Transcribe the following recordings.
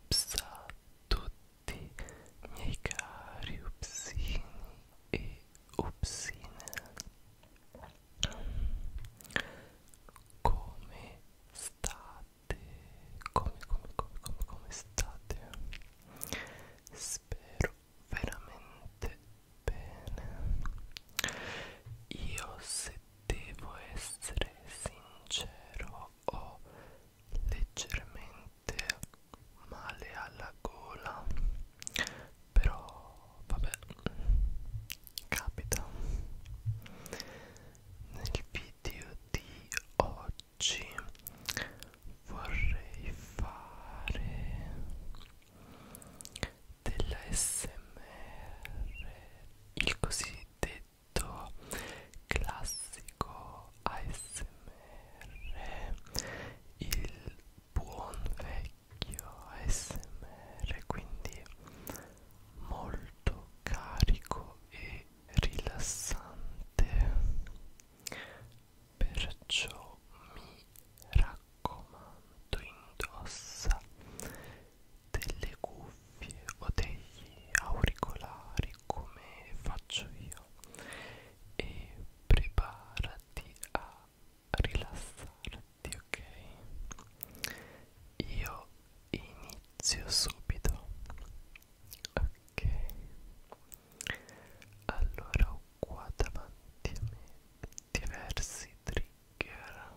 Ups a tutti miei cari upsini e upsine Come state? Come, come, come, come, come state? Spero veramente bene io se devo essere sincero ho leggermente male alla gola però vabbè capita nel video di oggi vorrei fare della smr il cosiddetto classico ASMR il buon vecchio ASMR quindi molto carico e rilassante perciò mi raccomando indossa delle cuffie o degli auricolari come faccio io e preparati a rilassarti ok io inizio subito ok allora ho qua davanti a me diversi trigger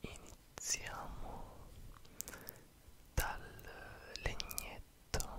iniziamo dal legnetto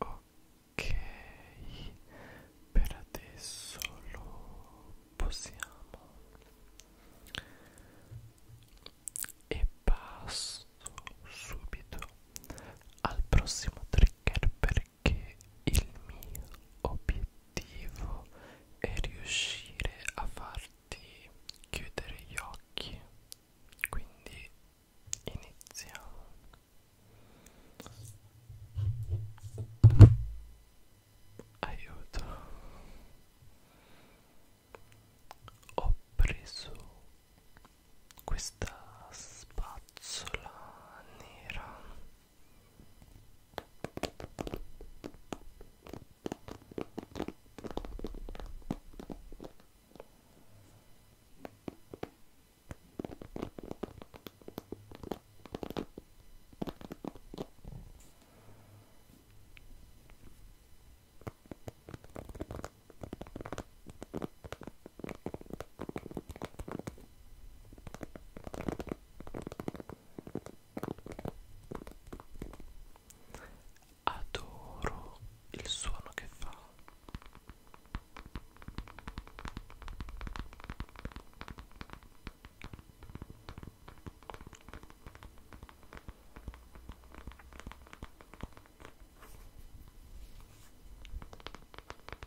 Ok, per adesso lo possiamo e passo subito al prossimo trick hacker perché il mio obiettivo è riuscire a farti chiudere gli occhi quindi iniziamo aiuto ho preso questa spazzola nera Adoro il suono che fa.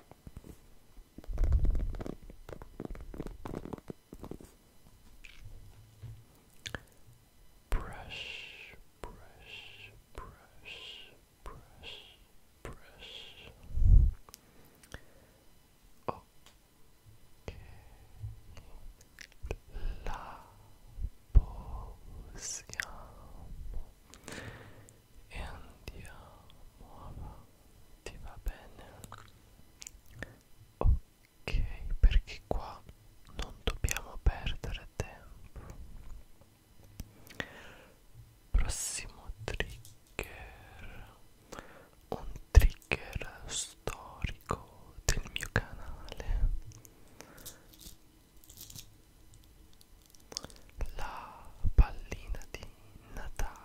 Press, press, press, press, press. Okay. La posiamo. e andiamo avanti va bene ok perché qua non dobbiamo perdere tempo prossimo trigger un trigger storico del mio canale la pallina di Natale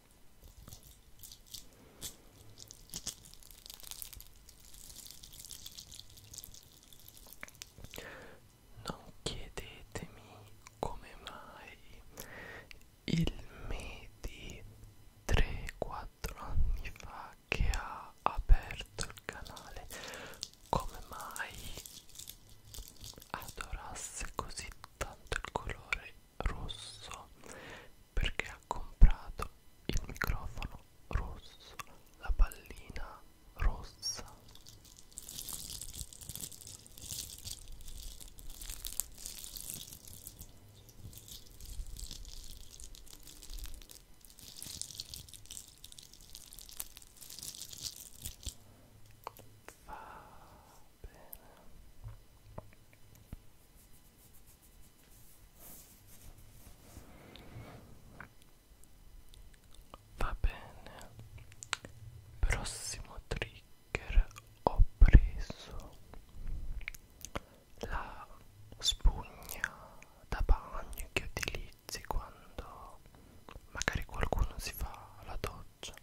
Non chiedetemi come mai il me di 3-4 anni fa che ha aperto il canale, come mai adorasse così tanto il colore rosso perché ha comprato il microfono rosso, la pallina rossa. Va bene. Va bene, prossimo trigger ho preso la spugna da bagno che utilizzi quando magari qualcuno si fa la doccia.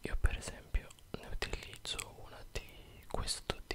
Io per esempio ne utilizzo una di questo tipo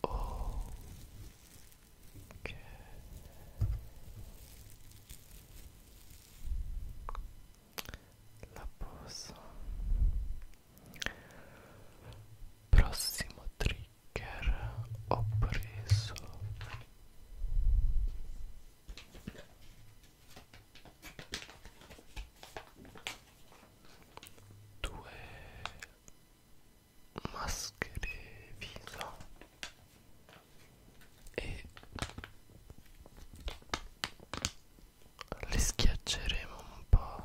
Ok. La posa. Prossimo trigger ho preso due maschere viso e le schiacceremo un po'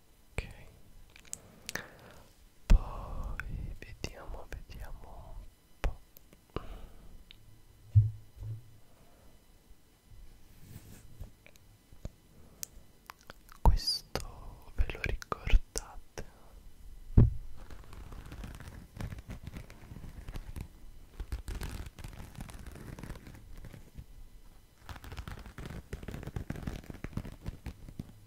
ok poi vediamo vediamo un po' questo ve lo ricordate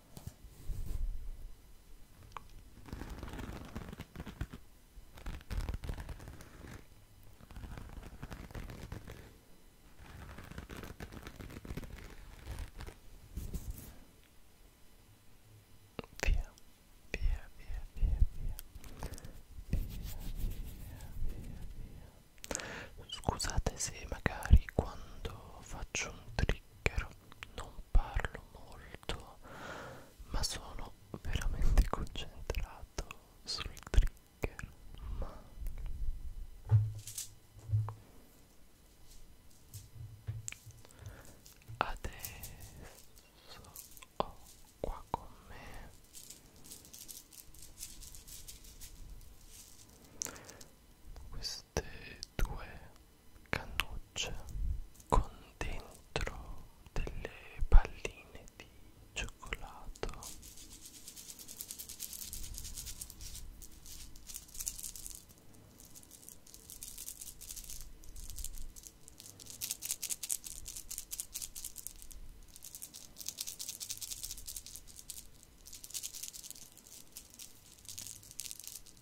via via via via via via via via scusate se magari quando faccio un trigger non parlo molto ma sono veramente concentrato sul trigger ma adesso ho qua con me questo queste due cannucce con dentro delle palline di cioccolato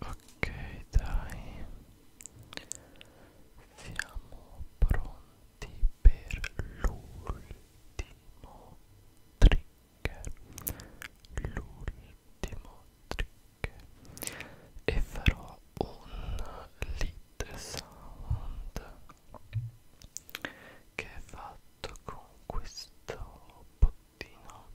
ok dai siamo pronti per l'ultimo trigger l'ultimo trigger e farò un lead sound che è fatto con questo bottino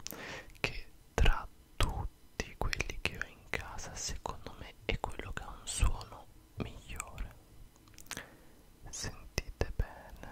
che tra tutti quelli che ho in casa secondo me è quello che ha un suono migliore sentite bene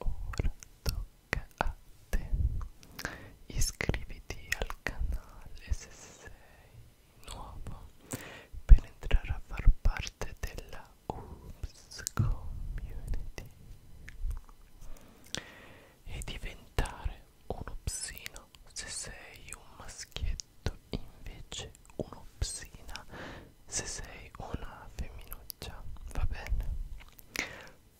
ora tocca a te iscriviti al canale se sei nuovo per entrare a far parte della Oops Community e diventare un upsino se sei un maschietto invece un'opsina se sei una femminuccia va bene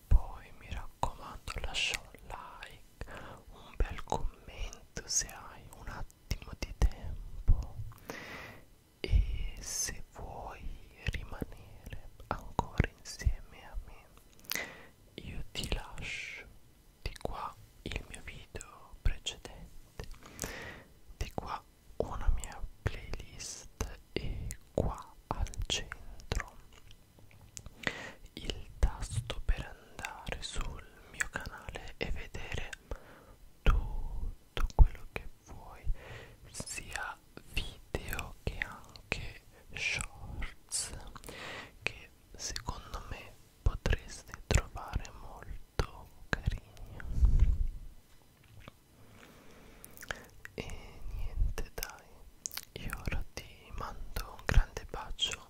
poi mi raccomando lascia un like un bel commento se hai un attimo di tempo e se vuoi rimanere ancora insieme a me io ti lascio di qua il mio video precedente di qua una mia playlist e qua al centro il tasto per andare sul mio canale e vedere tutto quello che vuoi sia video che anche shorts che secondo me potreste trovare molto carino e niente dai io ora ti mando un grande bacio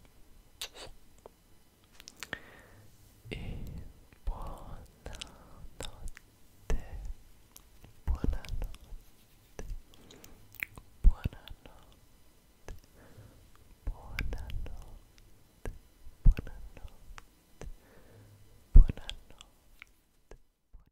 e buonanotte buonanotte buonanotte buonanotte buonanotte buonanotte